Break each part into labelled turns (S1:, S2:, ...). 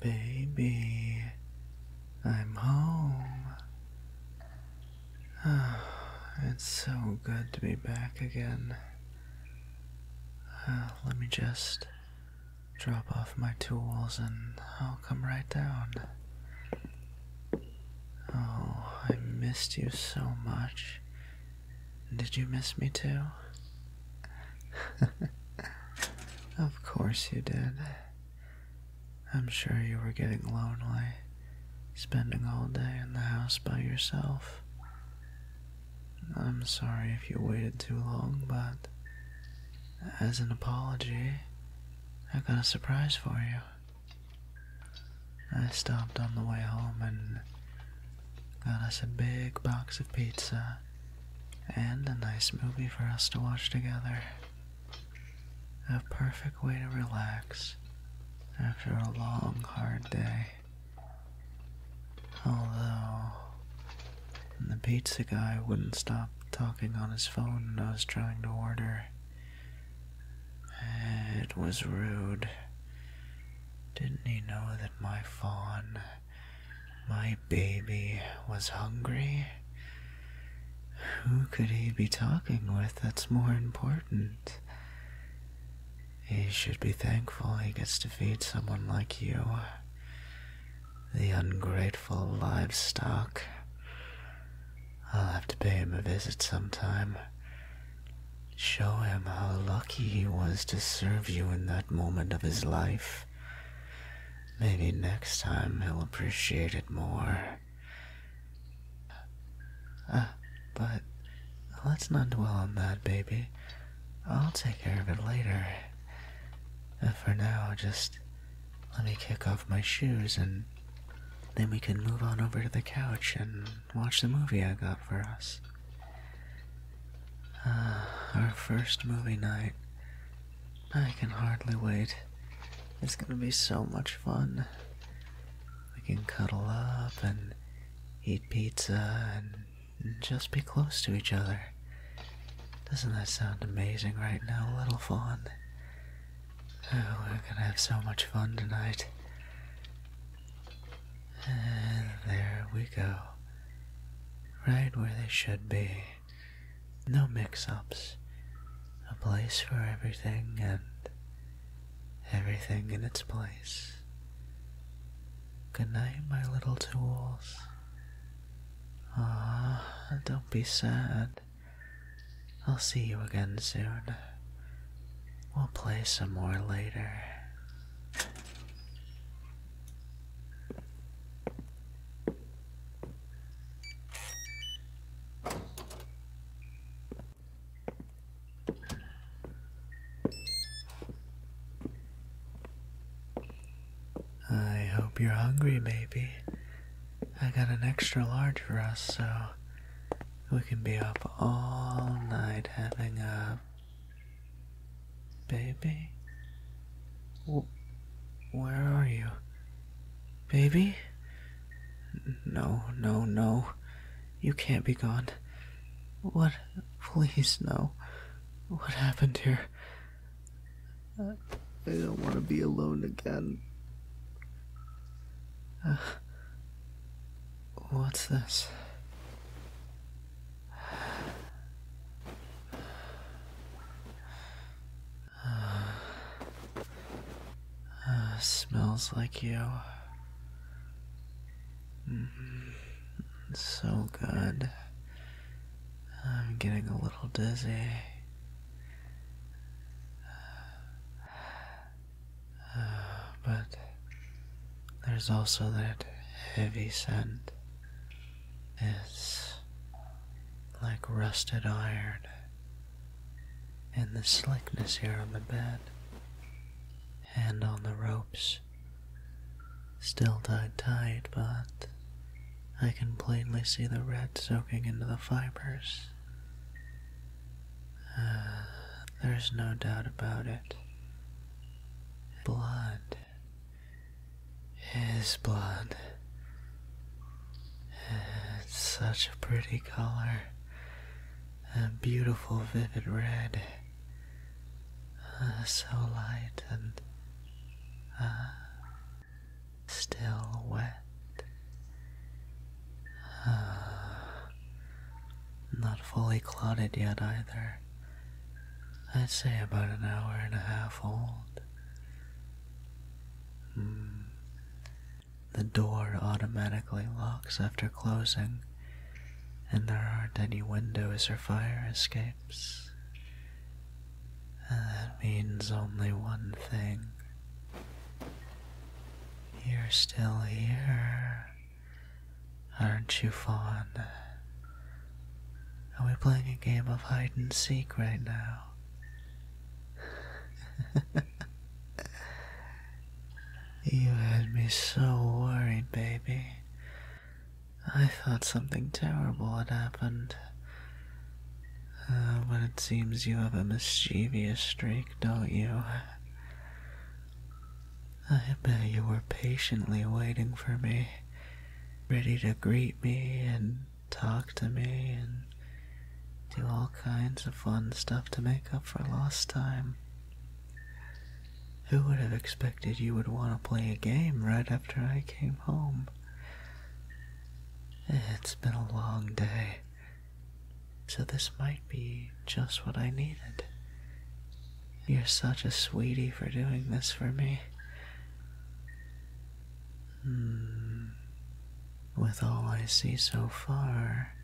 S1: Baby, I'm home. Ah, it's so good to be back again. Ah, let me just drop off my tools and I'll come right down. Oh, I missed you so much. Did you miss me too? of course you did. I'm sure you were getting lonely, spending all day in the house by yourself. I'm sorry if you waited too long, but as an apology, I have got a surprise for you. I stopped on the way home and got us a big box of pizza and a nice movie for us to watch together. A perfect way to relax after a long, hard day. Although, the pizza guy wouldn't stop talking on his phone when I was trying to order. It was rude. Didn't he know that my fawn, my baby, was hungry? Who could he be talking with that's more important? He should be thankful he gets to feed someone like you. The ungrateful livestock. I'll have to pay him a visit sometime. Show him how lucky he was to serve you in that moment of his life. Maybe next time he'll appreciate it more. Uh, but let's not dwell on that, baby. I'll take care of it later. And for now, just let me kick off my shoes and then we can move on over to the couch and watch the movie I got for us. Uh, our first movie night. I can hardly wait. It's gonna be so much fun. We can cuddle up and eat pizza and, and just be close to each other. Doesn't that sound amazing right now, little fawn? Oh, we're gonna have so much fun tonight. And there we go. Right where they should be. No mix ups. A place for everything and everything in its place. Good night, my little tools. Ah, don't be sad. I'll see you again soon. We'll play some more later. I hope you're hungry, baby. I got an extra large for us, so we can be up all night having a baby. where are you? Baby? No, no, no. You can't be gone. What? Please, no. What happened here? I don't want to be alone again. What's this? Uh, uh, smells like you. Mm-hmm. So good. I'm getting a little dizzy. but there's also that heavy scent. It's like rusted iron. And the slickness here on the bed and on the ropes. Still tied tight, but I can plainly see the red soaking into the fibers. Uh, there's no doubt about it. Blood is blood. It's such a pretty color. A beautiful vivid red. Uh, so light and uh, still wet. not fully clotted yet either. I'd say about an hour and a half old. Hmm. The door automatically locks after closing, and there aren't any windows or fire escapes. that means only one thing you're still here. Aren't you fond? Are we playing a game of hide and seek right now? you had me so worried, baby. I thought something terrible had happened. Uh, but it seems you have a mischievous streak, don't you? I bet you were patiently waiting for me, ready to greet me and talk to me and do all kinds of fun stuff to make up for lost time. Who would have expected you would want to play a game right after I came home? It's been a long day. So this might be just what I needed. You're such a sweetie for doing this for me. Hmm. With all I see so far,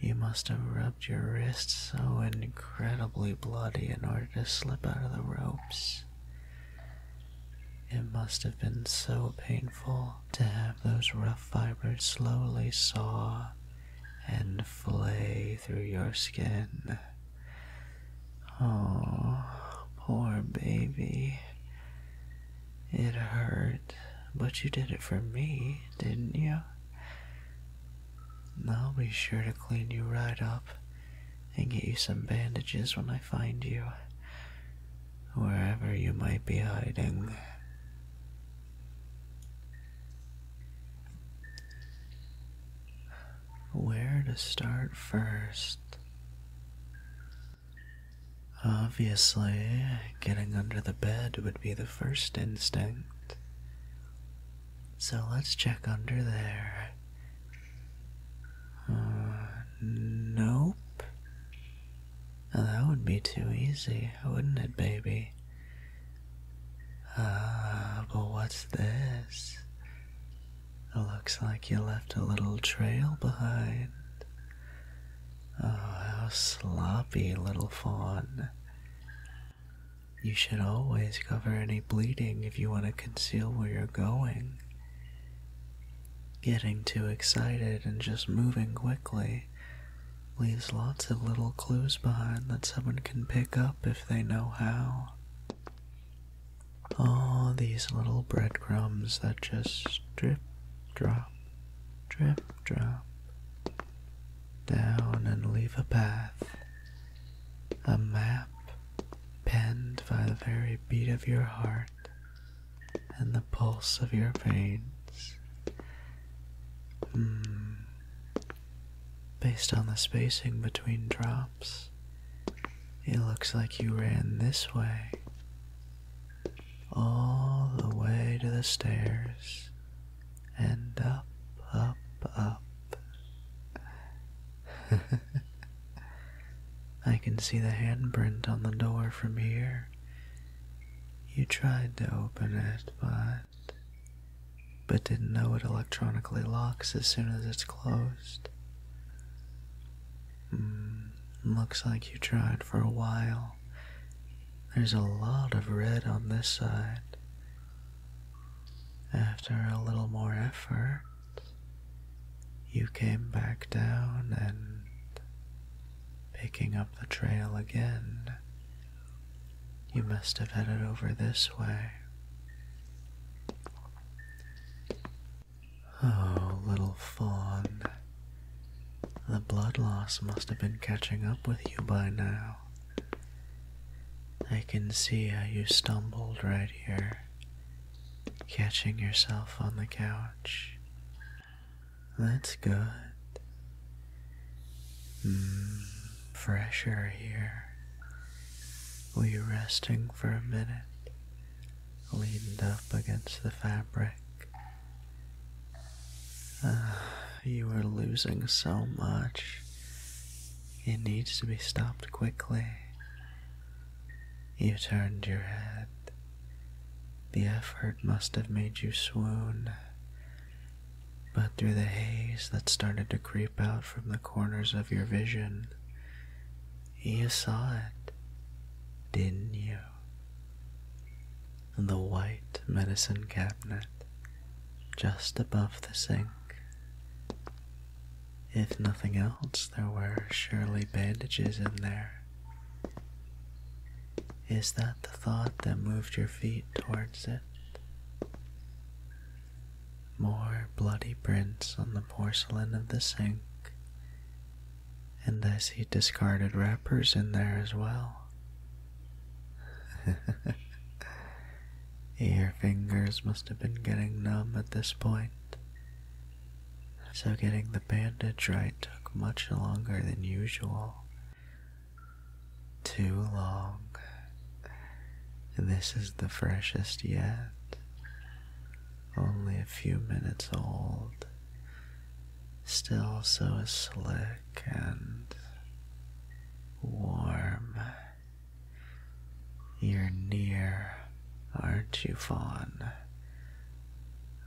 S1: you must have rubbed your wrist so incredibly bloody in order to slip out of the ropes. It must have been so painful to have those rough fibers slowly saw and flay through your skin. Oh, poor baby. It hurt, but you did it for me, didn't you? I'll be sure to clean you right up and get you some bandages when I find you wherever you might be hiding. Where to start first? Obviously, getting under the bed would be the first instinct. So let's check under there. Uh, nope. Oh, that would be too easy, wouldn't it, baby? Ah, but what's this? It looks like you left a little trail behind. Oh, how sloppy, little fawn. You should always cover any bleeding if you want to conceal where you're going. Getting too excited and just moving quickly leaves lots of little clues behind that someone can pick up if they know how. All these little breadcrumbs that just drip, drop, drip, drop down and leave a path, a map penned by the very beat of your heart and the pulse of your veins. Hmm. Based on the spacing between drops, it looks like you ran this way, all the way to the stairs, and up, up, up. I can see the handprint on the door from here you tried to open it, but, but didn't know it electronically locks as soon as it's closed. Hmm, looks like you tried for a while. There's a lot of red on this side. After a little more effort, you came back down and Picking up the trail again. You must have headed over this way. Oh, little fawn. The blood loss must have been catching up with you by now. I can see how you stumbled right here, catching yourself on the couch. That's good. Hmm, Fresher here. We you resting for a minute, leaned up against the fabric? Ah, you are losing so much. It needs to be stopped quickly. You turned your head the effort must have made you swoon, but through the haze that started to creep out from the corners of your vision, you saw it, didn't you? The white medicine cabinet just above the sink. If nothing else, there were surely bandages in there. Is that the thought that moved your feet towards it? More bloody prints on the porcelain of the sink, and I see discarded wrappers in there as well. your fingers must have been getting numb at this point, so getting the bandage right took much longer than usual. Too long. This is the freshest yet, only a few minutes old, still so slick and warm. You're near, aren't you, Fawn?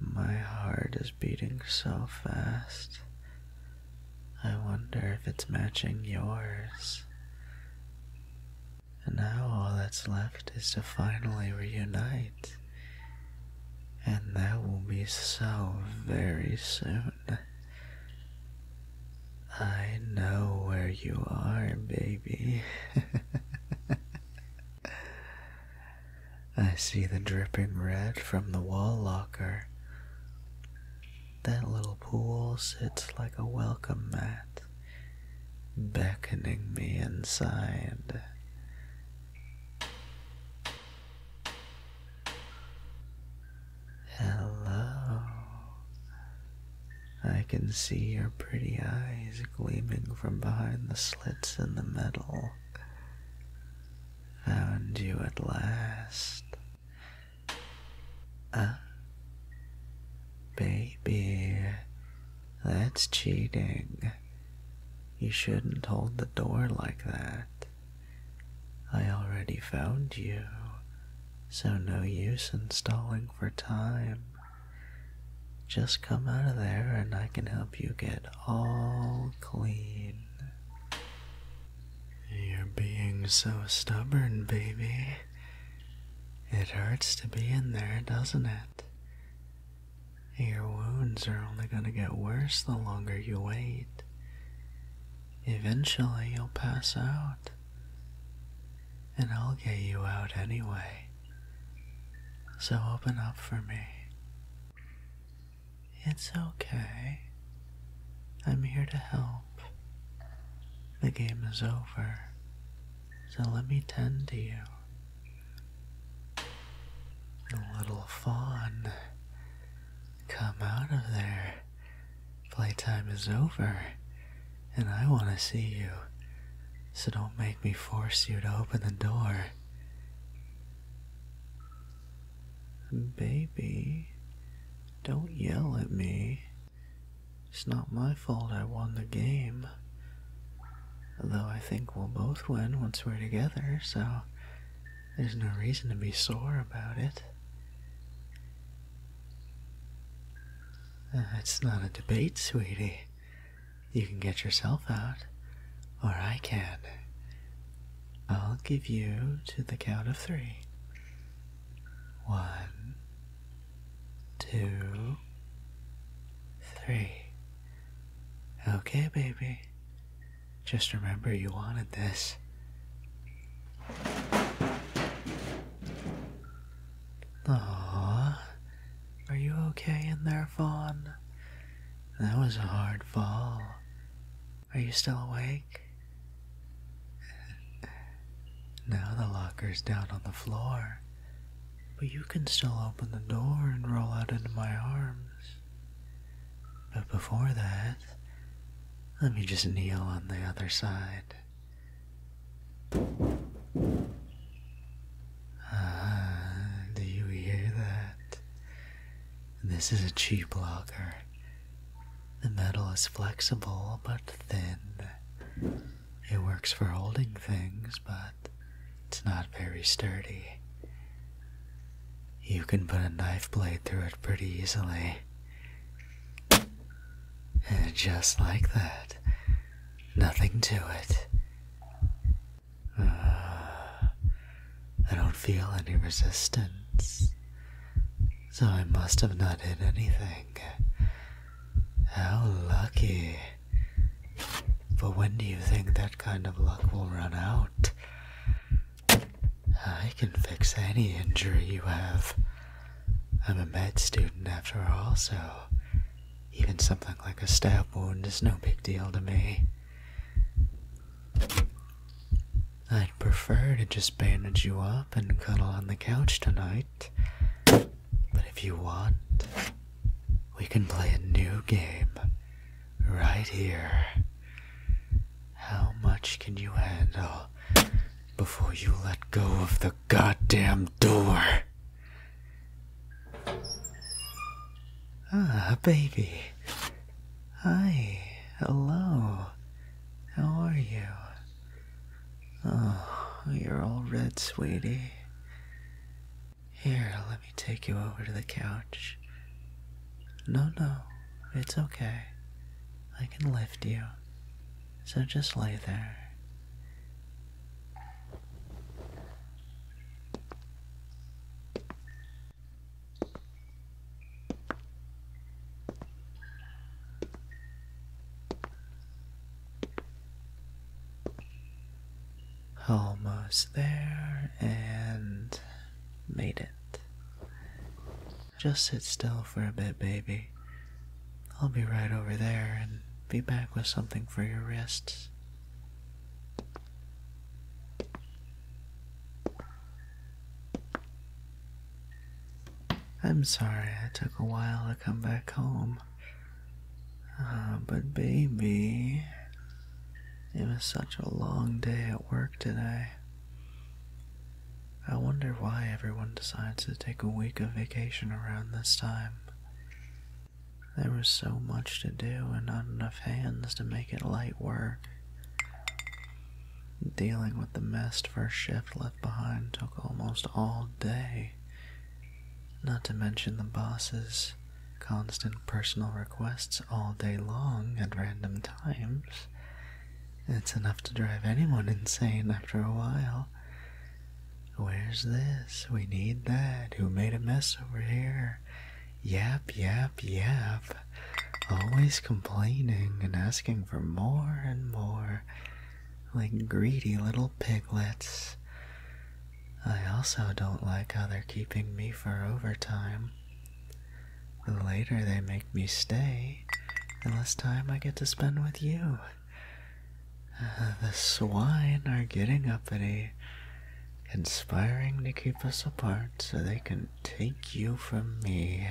S1: My heart is beating so fast. I wonder if it's matching yours. And now all that's left is to finally reunite. And that will be so very soon. I know where you are, baby. I see the dripping red from the wall locker. That little pool sits like a welcome mat, beckoning me inside. Hello. I can see your pretty eyes gleaming from behind the slits in the metal. Found you at last. Ah, baby, that's cheating. You shouldn't hold the door like that. I already found you, so no use installing for time. Just come out of there and I can help you get all clean. You're being so stubborn, baby. It hurts to be in there, doesn't it? Your wounds are only going to get worse the longer you wait. Eventually, you'll pass out. And I'll get you out anyway. So open up for me. It's okay. I'm here to help. The game is over. So let me tend to you. Little fawn, come out of there. Playtime is over and I want to see you, so don't make me force you to open the door. Baby, don't yell at me. It's not my fault I won the game. Though I think we'll both win once we're together, so there's no reason to be sore about it. That's uh, not a debate, sweetie. You can get yourself out, or I can. I'll give you to the count of three. One, two, three. Okay, baby. Just remember you wanted this. Aww, are you okay in there, Fawn? That was a hard fall. Are you still awake? Now the locker's down on the floor, but you can still open the door and roll out into my arms. But before that, let me just kneel on the other side. Ah, do you hear that? This is a cheap locker. The metal is flexible but thin. It works for holding things, but it's not very sturdy. You can put a knife blade through it pretty easily. And just like that, nothing to it. Uh, I don't feel any resistance, so I must have not hit anything. How lucky. But when do you think that kind of luck will run out? I can fix any injury you have. I'm a med student after all, so even something like a stab wound is no big deal to me. I'd prefer to just bandage you up and cuddle on the couch tonight. But if you want, we can play a new game right here. How much can you handle before you let go of the goddamn door? Ah, baby. Hi. Hello. How are you? Oh, you're all red, sweetie. Here, let me take you over to the couch. No, no, it's okay. I can lift you. So just lay there. Almost there and made it. Just sit still for a bit, baby. I'll be right over there and be back with something for your wrists. I'm sorry I took a while to come back home. Uh, but, baby, it was such a long day at work today. I wonder why everyone decides to take a week of vacation around this time. There was so much to do and not enough hands to make it light work. Dealing with the mess first shift left behind took almost all day, not to mention the boss's constant personal requests all day long at random times. It's enough to drive anyone insane after a while. Where's this? We need that. Who made a mess over here? Yap, yap, yap. Always complaining and asking for more and more. Like greedy little piglets. I also don't like how they're keeping me for overtime. Later they make me stay, the less time I get to spend with you. Uh, the swine are getting up uppity, conspiring to keep us apart so they can take you from me.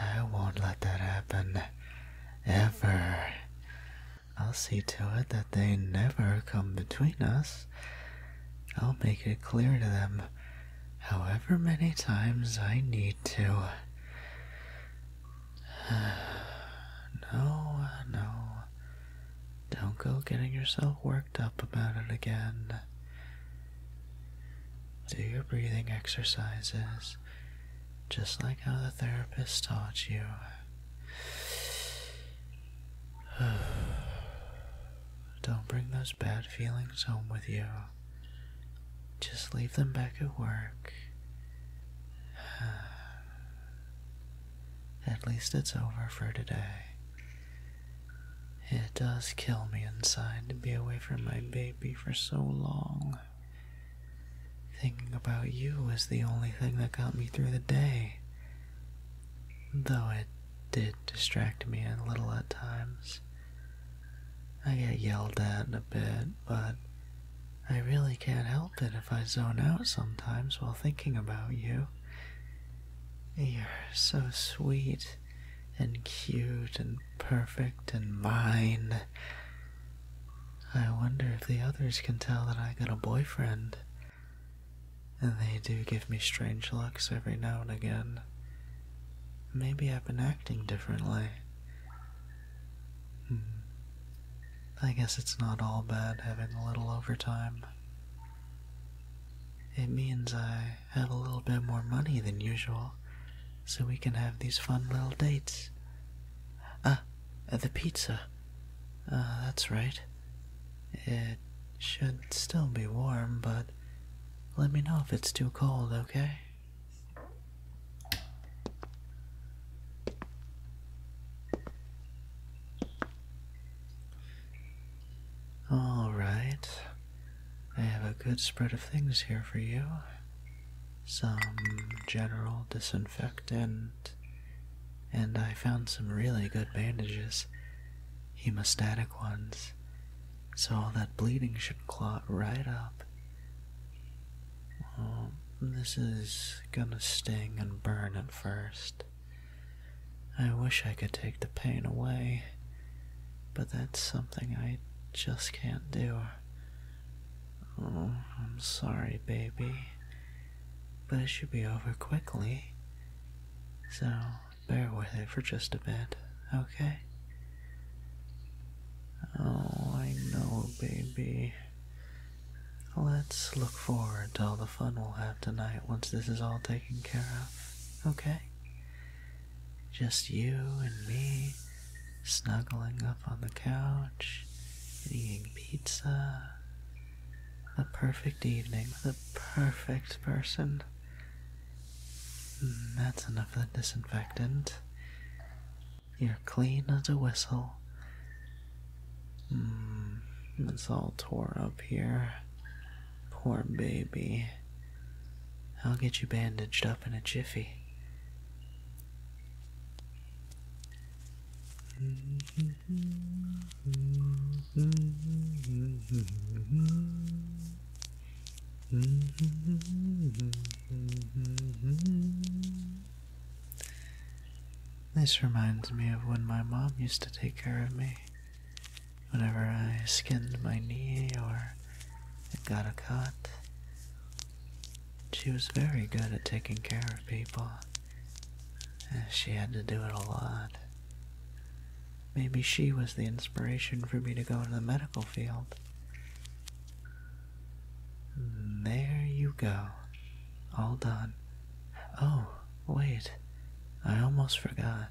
S1: I won't let that happen. Ever. I'll see to it that they never come between us. I'll make it clear to them however many times I need to. no, no. Don't go getting yourself worked up about it again. Do your breathing exercises just like how the therapist taught you. Don't bring those bad feelings home with you just leave them back at work. At least it's over for today. It does kill me inside to be away from my baby for so long. Thinking about you was the only thing that got me through the day. Though it did distract me a little at times. I get yelled at a bit, but I really can't help it if I zone out sometimes while thinking about you. You're so sweet and cute and perfect and mine. I wonder if the others can tell that I got a boyfriend. And they do give me strange looks every now and again. Maybe I've been acting differently. Hmm. I guess it's not all bad having a little overtime. It means I have a little bit more money than usual, so we can have these fun little dates. Ah, the pizza. Ah, that's right. It should still be warm, but let me know if it's too cold, okay? All right. I have a good spread of things here for you. Some general disinfectant, and I found some really good bandages, hemostatic ones, so all that bleeding should clot right up. Um, this is gonna sting and burn at first. I wish I could take the pain away, but that's something I just can't do. Oh, I'm sorry, baby, but it should be over quickly. So, bear with it for just a bit, okay? Oh, I know, baby. Let's look forward to all the fun we'll have tonight once this is all taken care of, okay? Just you and me snuggling up on the couch and eating pizza. A perfect evening with a perfect person. Mm, that's enough of the disinfectant. You're clean as a whistle. Mm, it's all tore up here. Poor baby. I'll get you bandaged up in a jiffy. Mm-hmm. This reminds me of when my mom used to take care of me. Whenever I skinned my knee or got a cut, she was very good at taking care of people. Eh, she had to do it a lot. Maybe she was the inspiration for me to go into the medical field. There you go. All done. Oh, wait. I almost forgot.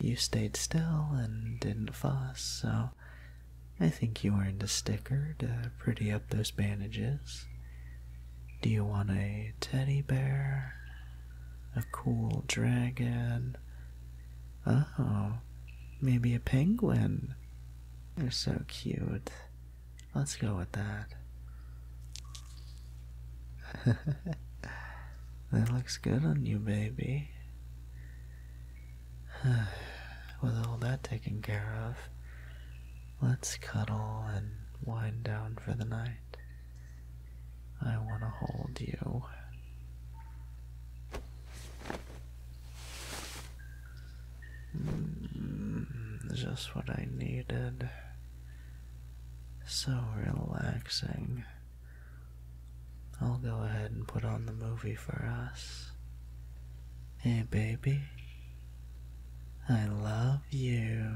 S1: You stayed still and didn't fuss, so I think you earned a sticker to pretty up those bandages. Do you want a teddy bear? A cool dragon? Oh, maybe a penguin. They're so cute. Let's go with that. that looks good on you, baby. With all that taken care of, let's cuddle and wind down for the night. I want to hold you. Mm, just what I needed. So relaxing. I'll go ahead and put on the movie for us. Hey, baby. I love you.